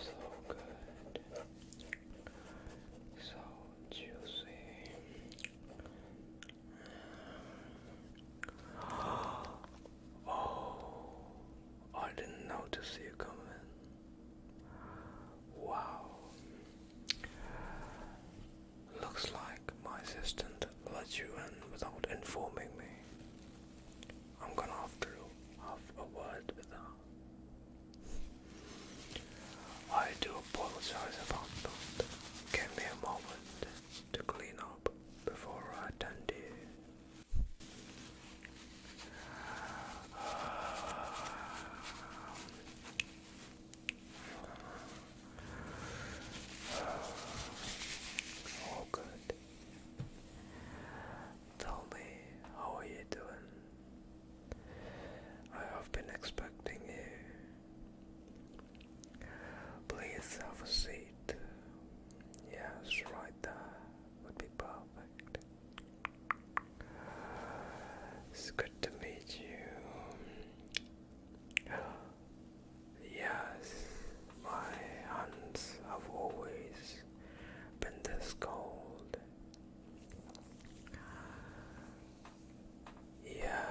So good, so juicy. Oh, I didn't notice you coming. Wow. Looks like my assistant let you in without informing me. I'm gonna have to have a word with her. I do apologize about that. Give me a moment to clean up before I attend you. All good. Tell me, how are you doing? I have been expecting you. Please have a seat. Yes, right there would be perfect. It's good to meet you. Yes, my hands have always been this cold. Yeah,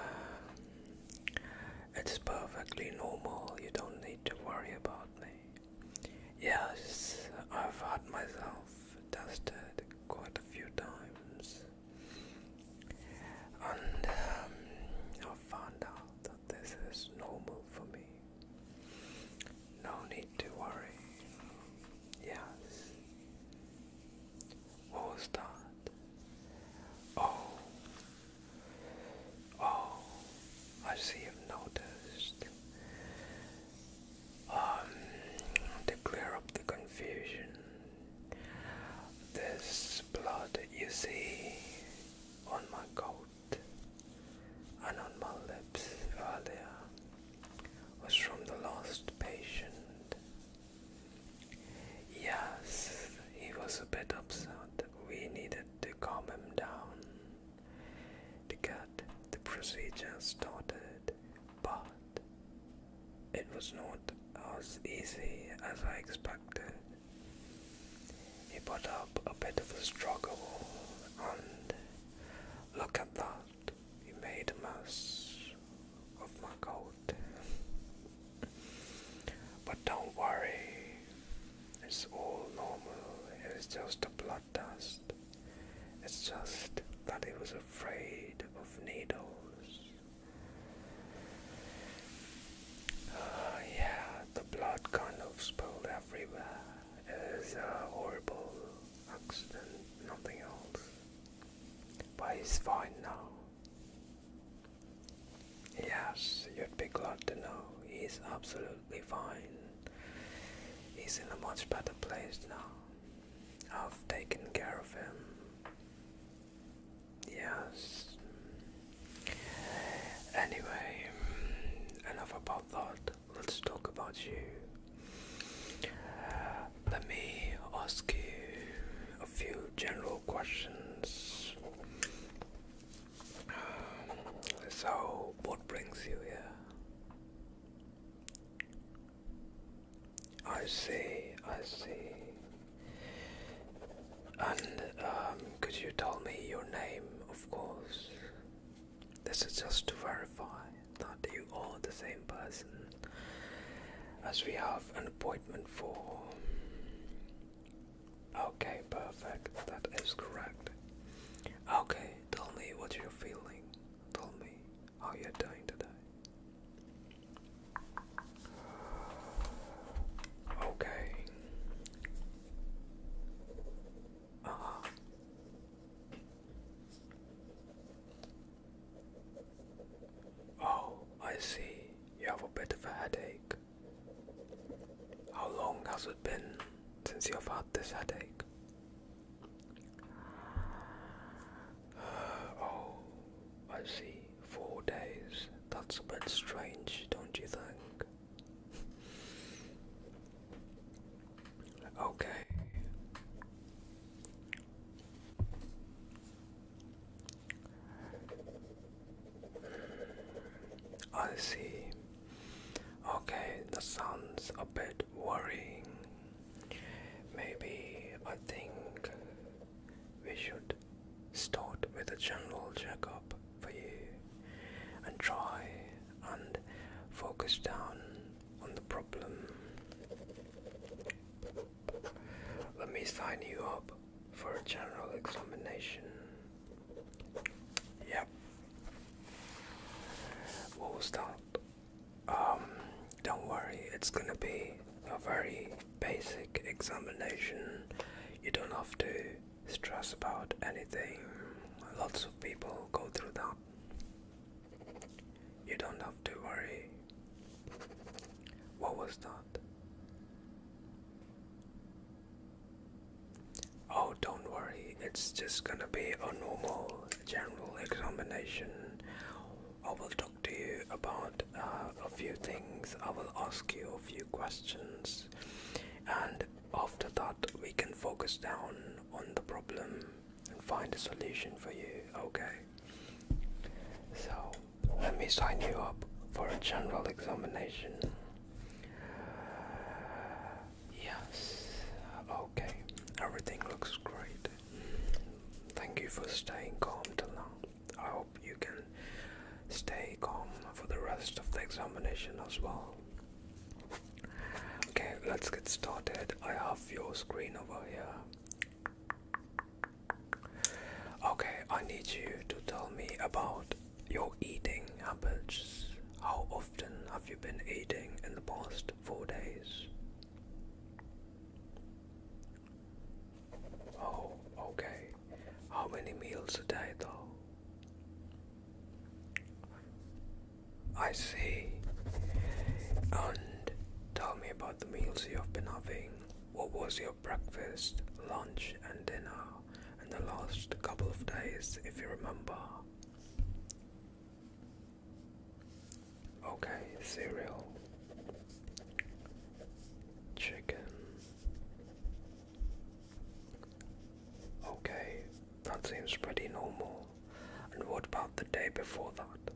it's perfectly normal. You don't need to worry about me. Yes, I've had myself tested quite a few times, and um, I found out that this is normal for me. No need to worry. Yes. What was that? Oh. Oh, I see you've noticed. Um, to clear up the confusion. This blood you see on my coat and on my lips earlier was from the last patient. Yes, he was a bit upset. We needed to calm him down to get the procedure started it, but it was not as easy as I expected. He put up a bit of a struggle, and look at that, he made a mess of my coat. but don't worry, it's all normal, it's just a blood dust. It's just that he was afraid of needles. Ah, yeah, the blood kind of spilled everywhere. It was a horrible accident, nothing else. But he's fine now. Yes, you'd be glad to know he's absolutely fine. He's in a much better place now. I've taken care of him. Yes. Anyway, enough about that. Let's talk about you. Let me ask you a few general questions. So, what brings you here? I see, I see. And um, could you tell me your name, of course? This is just to verify that you are the same person as we have an appointment for. Okay, perfect. That is correct. Okay, tell me what you're feeling. Tell me. Oh, you're dying to die. Okay. Uh-huh. Oh, I see. You have a bit of a headache. How long has it been since you've had this headache? Oh, I see. Four days. That's a bit strange, don't you think? Okay. I see. Okay, that sounds a bit worrying. Maybe I think we should start with a general checkup for you and try and focus down on the problem. Let me sign you up for a general examination. Yep. We'll start um, don't worry, it's gonna be a very basic examination. You don't have to stress about anything. Lots of people go through that. You don't have to worry. What was that? Oh, don't worry, it's just gonna be a normal general examination. I will talk to you about uh, a few things, I will ask you a few questions, and after that, we can focus down on the problem and find a solution for you, okay? So, let me sign you up for a general examination. Yes, oh, okay. Everything looks great. Thank you for staying calm till now. I hope you can stay calm for the rest of the examination as well. Okay, let's get started. I have your screen over here. Okay, I need you to tell me about your eating habits. How often have you been eating in the past? four days. Oh, okay. How many meals a day, though? I see. And tell me about the meals you have been having. What was your breakfast, lunch, and dinner in the last couple of days, if you remember? Okay, cereal, chicken. Okay, that seems pretty normal. And what about the day before that?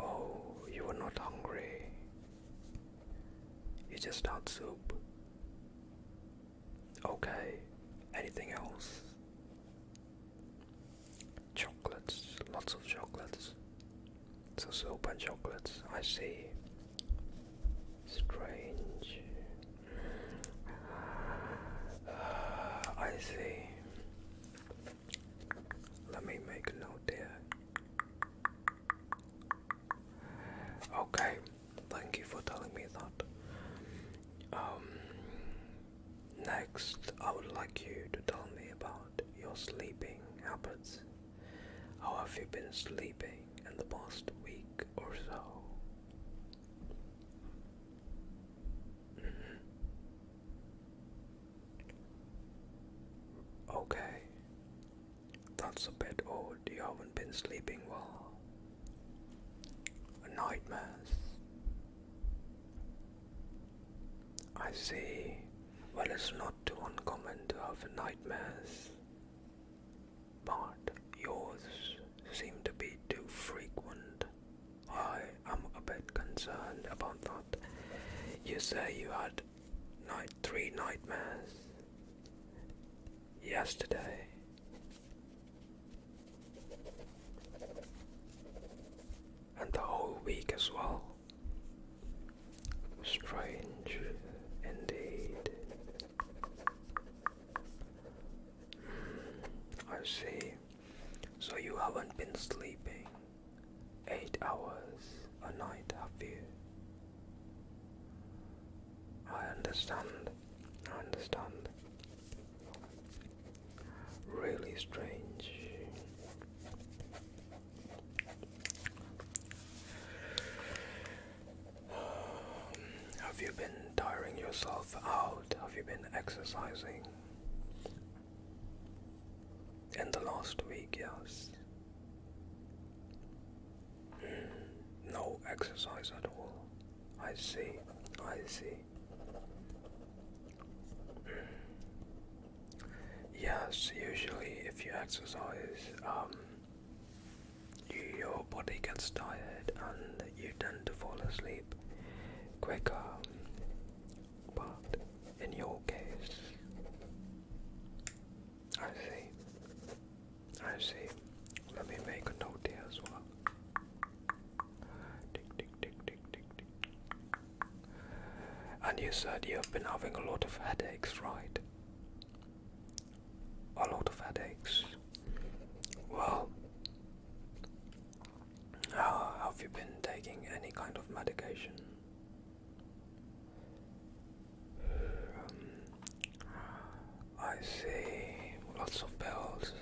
Oh, you were not hungry. You just had soup. Okay. Anything else? Chocolates. Lots of chocolates. So soap and chocolates. I see. Strange. Uh, I see. Let me make a note there. Okay, Thank you for telling me that. Um, next, I would like you to tell me about your sleeping habits. How have you been sleeping in the past week or so? Mm-hmm. Okay, that's a bit odd. You haven't been sleeping well nightmares. I see. Well, it's not too uncommon to have nightmares, but yours seem to be too frequent. I am a bit concerned about that. You say you had three nightmares yesterday and the whole week as well. Strange indeed. Hmm, I see. So you haven't been sleeping eight hours a night, I fear. I understand. I understand. Really strange. have you been tiring yourself out? Have you been exercising? In the last week, yes. No exercise at all. I see, I see. Yes, usually if you exercise, um, your body gets tired and you tend to fall asleep quicker. But in your case, I see. I see. Let me make a note here as well. Tick, tick, tick, tick, tick, tick. And you said you've been having a lot of headaches, right? A lot of headaches. Well, uh, have you been taking any kind of medication? Um, I see lots of pills.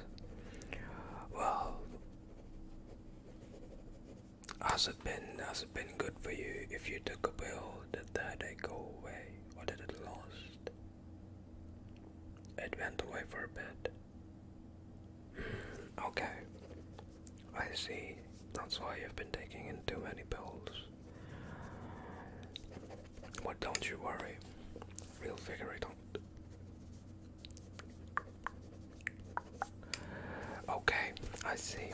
Well, has it been has it been good for you if you took a pill? Did the headache go away or did it last? It went away for a bit. Hmm, okay, I see. That's why you've been taking in too many pills. Well, don't you worry, we'll figure it out. Okay, I see.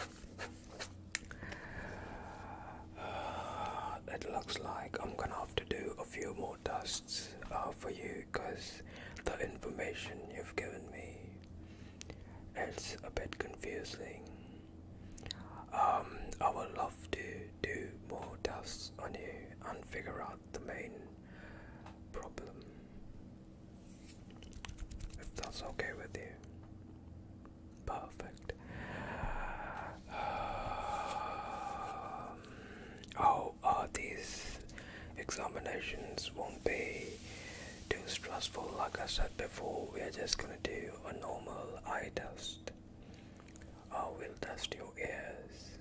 Uh, it looks like I'm gonna have to do a few more tests uh, for you because the information you've given me it's a bit confusing. Um, I would love to do more tests on you and figure out the main problem. If that's okay with you. Perfect. Um, oh, these examinations won't be too stressful. Like I said before, we are just gonna do a normal eye test. I oh, will dust your ears.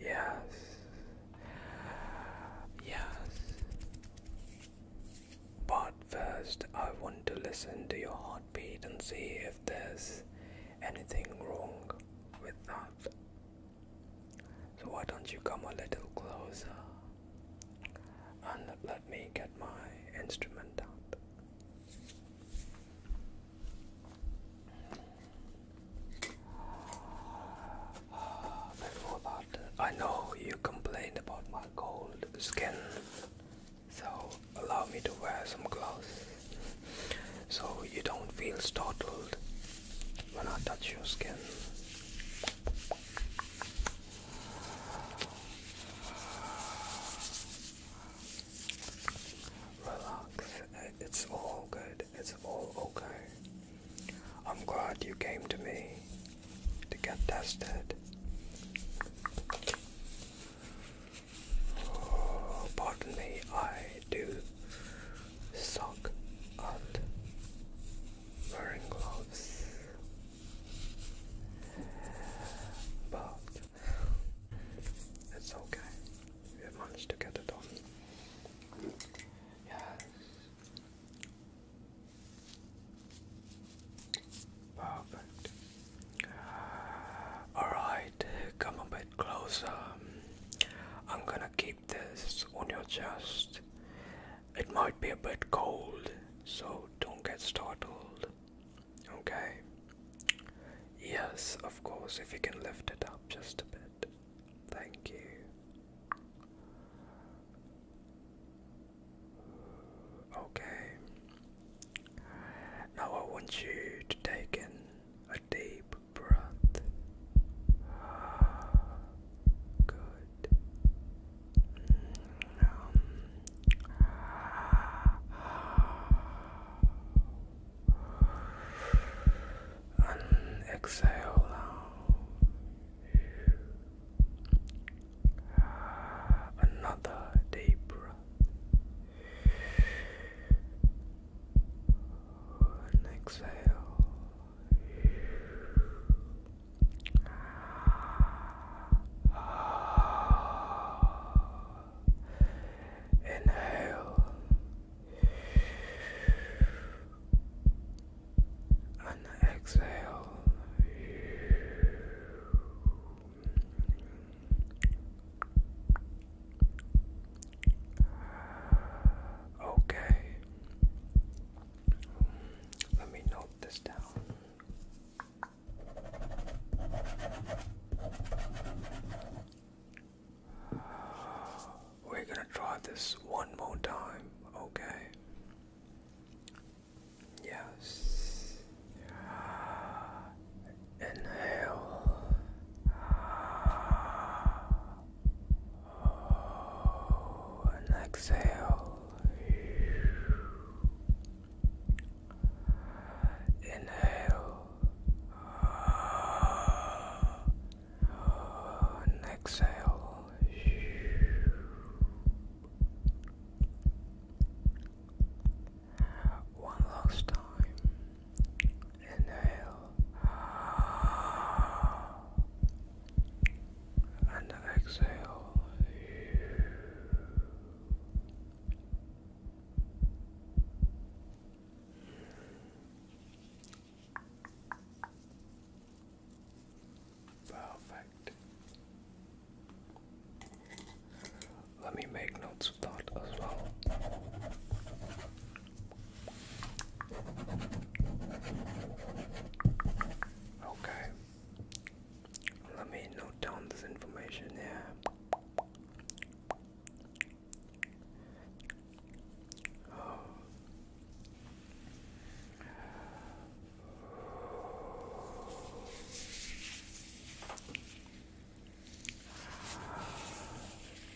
Yes. Yes. But first, I want to listen to your heartbeat and see if there's anything wrong with that. So, why don't you come a little closer and let me get my instrument out? Before that, I know you complain about my cold skin, so allow me to wear some clothes, so you don't feel startled when I touch your skin. Relax. Uh, it's all good. It's all okay. I'm glad you came to me to get tested. Oh, pardon me, I do suck at wearing gloves. But it's okay. We have managed to get it on. Yes. Perfect. Alright, come a bit closer. I'm gonna keep this on your chest. It might be a bit cold, so don't get startled. Okay. Yes, of course, if you can lift it up just a bit. Thank you. Okay. Now I want you to take in a deep breath. Good. Mm, um, exhale now. Another deep breath. exhale. Inhale and exhale. Okay. Let me note this down. We're gonna try this one more time, okay? Yes. Inhale. and exhale. Inhale. And exhale. One last time. Inhale. And exhale. Perfect. Let me make notes of that as well. Okay. Let me note down this information here. Oh.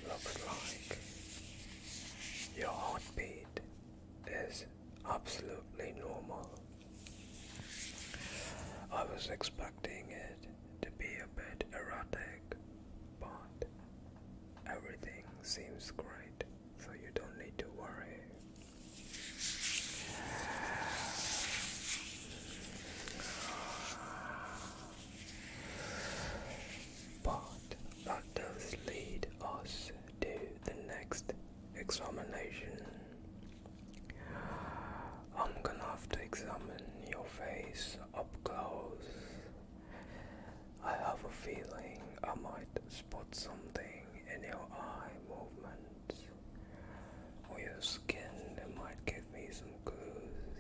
Looks like your heartbeat is absolutely normal. I was expecting it to be a bit erotic, but everything seems great, so you don't need to worry. But that does lead us to the next examination, I'm gonna have to examine your face up close. I have a feeling I might spot something in your eye movements or your skin might give me some clues.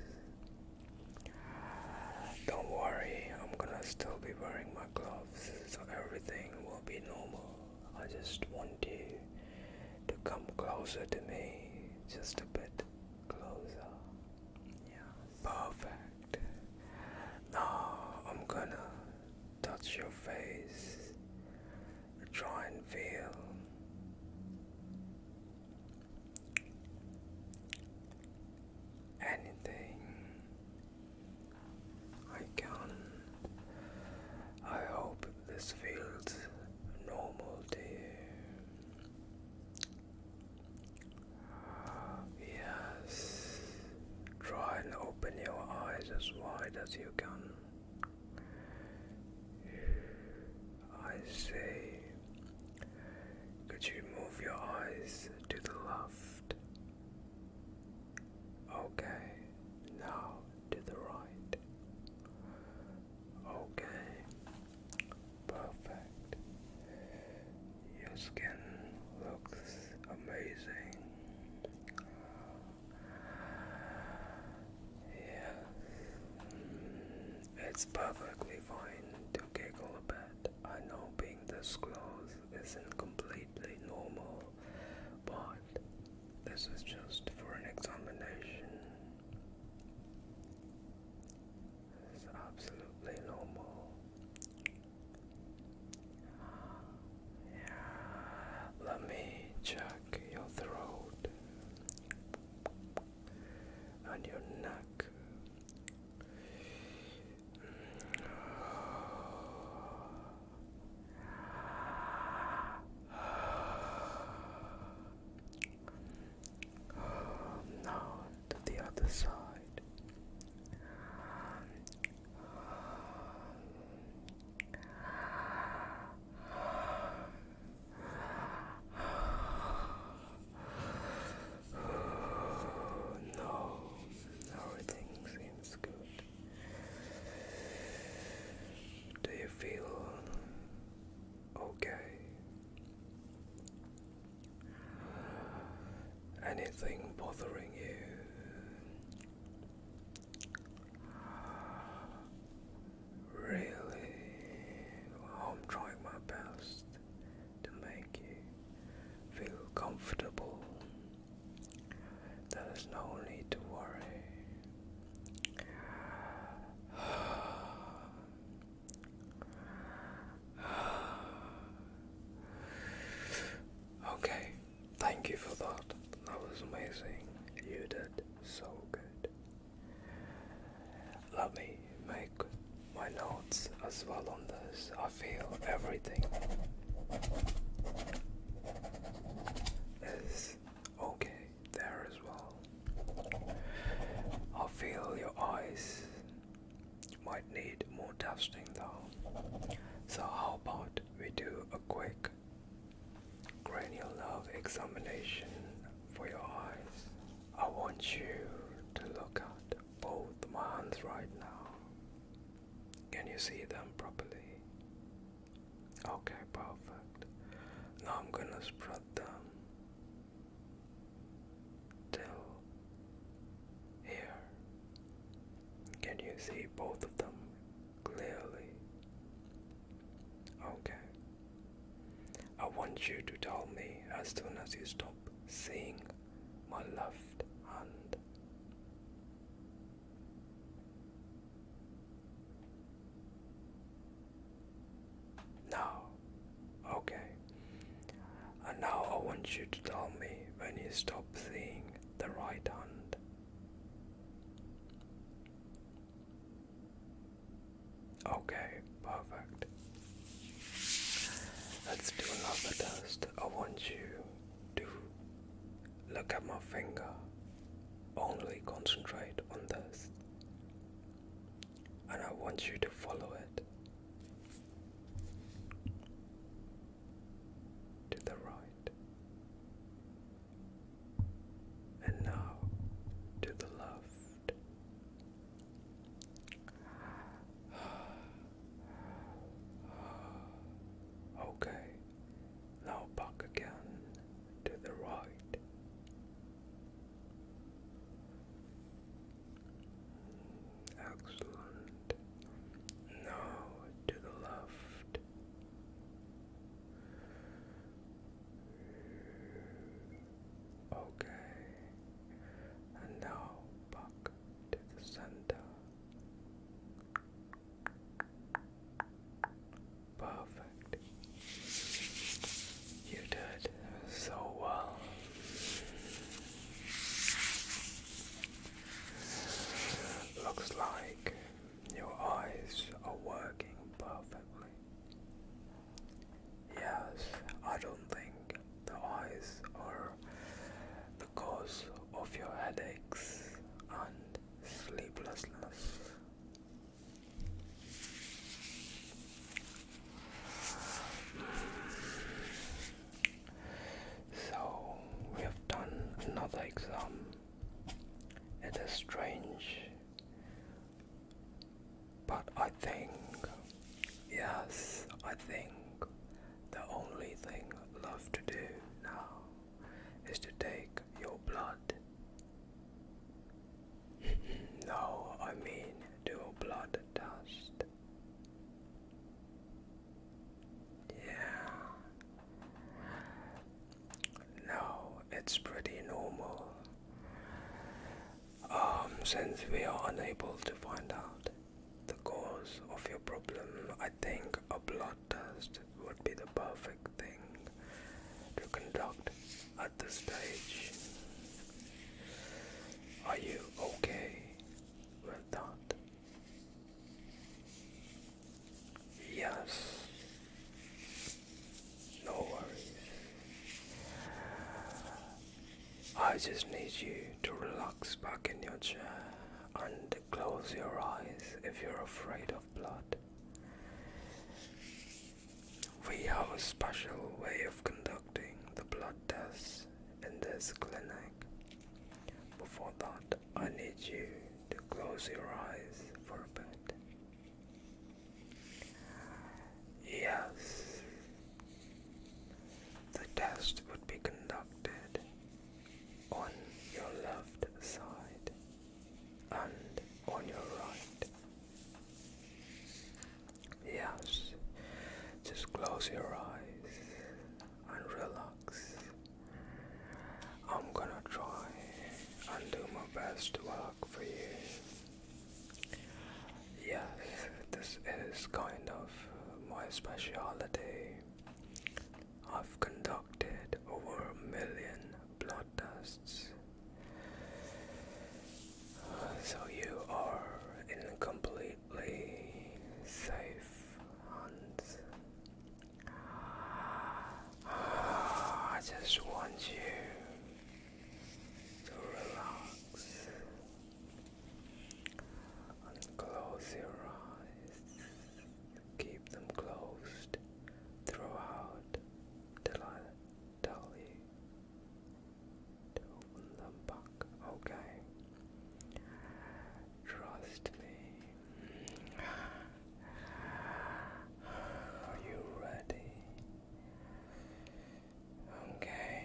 Don't worry, I'm gonna still be wearing my gloves so everything will be normal. I just want you to come closer to me, just a bit closer. Yeah, perfect. Now I'm gonna touch your face, try and feel. Anything I can. I hope this feels normal to you. Yes. Try and open your eyes as wide as you can. I say, could you move your eyes to the left? Okay, now to the right. Okay, perfect. Your skin looks amazing. Yes, it's perfectly fine to giggle a bit. I know being this close isn't completely normal, but this is just for an examination. This absolutely normal. Yeah. Let me check your throat and your neck. Now to the other side. No, everything seems good. Do you feel okay? Anything bothering you? Really? I'm trying my best to make you feel comfortable. There is no need to worry. okay, thank you for that. That was amazing. You did so good. Let me make my notes as well on this. I feel everything is okay there as well. I feel your eyes might need more dusting though. So, how about we do a quick cranial nerve examination for your eyes? I want you to look at both my hands right now. Can you see them properly? Okay, perfect. Now I'm gonna spread them till here. Can you see both of them clearly? Okay. I want you to tell me as soon as you stop seeing my left hand. No. Okay. And now I want you to tell me when you stop seeing the right hand. Okay, perfect. Let's do another test. I want you do. Look at my finger. Only concentrate on this. And I want you to follow it to the right. And now to the left. Okay, now back again to the right. Excellent. Now to the left. Okay. And now back to the center. Perfect. You did so well. Looks like your eyes are working perfectly. Yes, I don't think the eyes are the cause of your headaches and sleeplessness. So we have done another exam. It is strange, but I think, yes, I think the only thing left to do now is to take your blood. no, I mean do blood test. Yeah. No, it's pretty normal. Um, since we are unable to find out the cause of your problem, I think a blood contest would be the perfect thing to conduct at this stage. Are you okay with that? Yes. No worries. I just need you to relax back in your chair and close your eyes if you're afraid of blood. We have a special way of conducting the blood test in this clinic. Before that, I need you to close your eyes for a bit. Yes, the test would be conducted on your left side and on your right. Yes, just close your eyes and relax. I'm gonna try and do my best to work for you. Yes, this is kind of my specialty. I've conducted over a million blood tests. so you are in completely safe hands. I just want you to relax and close your eyes keep them closed throughout till I tell you open them back. Okay. Trust me. Are you ready? Okay.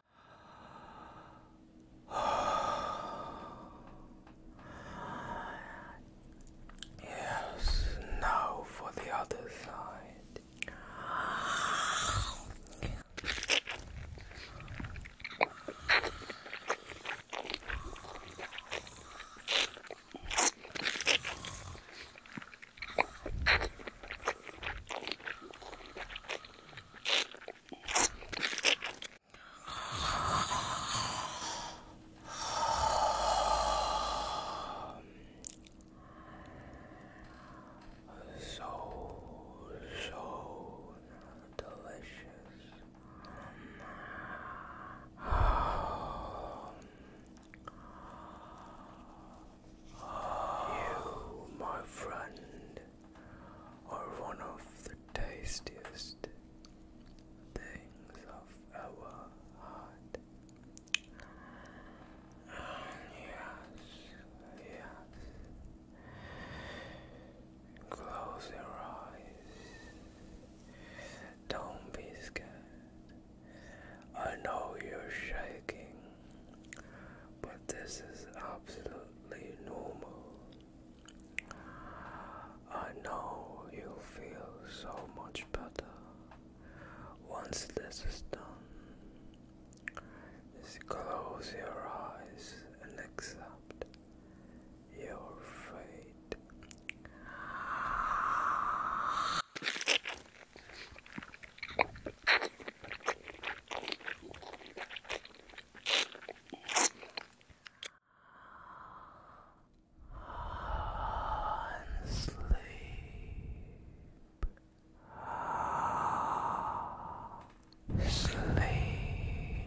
Yes, now for the other side. So, so delicious. Oh. You, my friend, are one of the tastiest things of our heart. Ah, yes, yes. Close your eyes. Don't be scared. I know you're shaking, but this is absolutely normal. I know you'll feel so much better once this is done. Just close your eyes and accept your fate and sleep, sleep.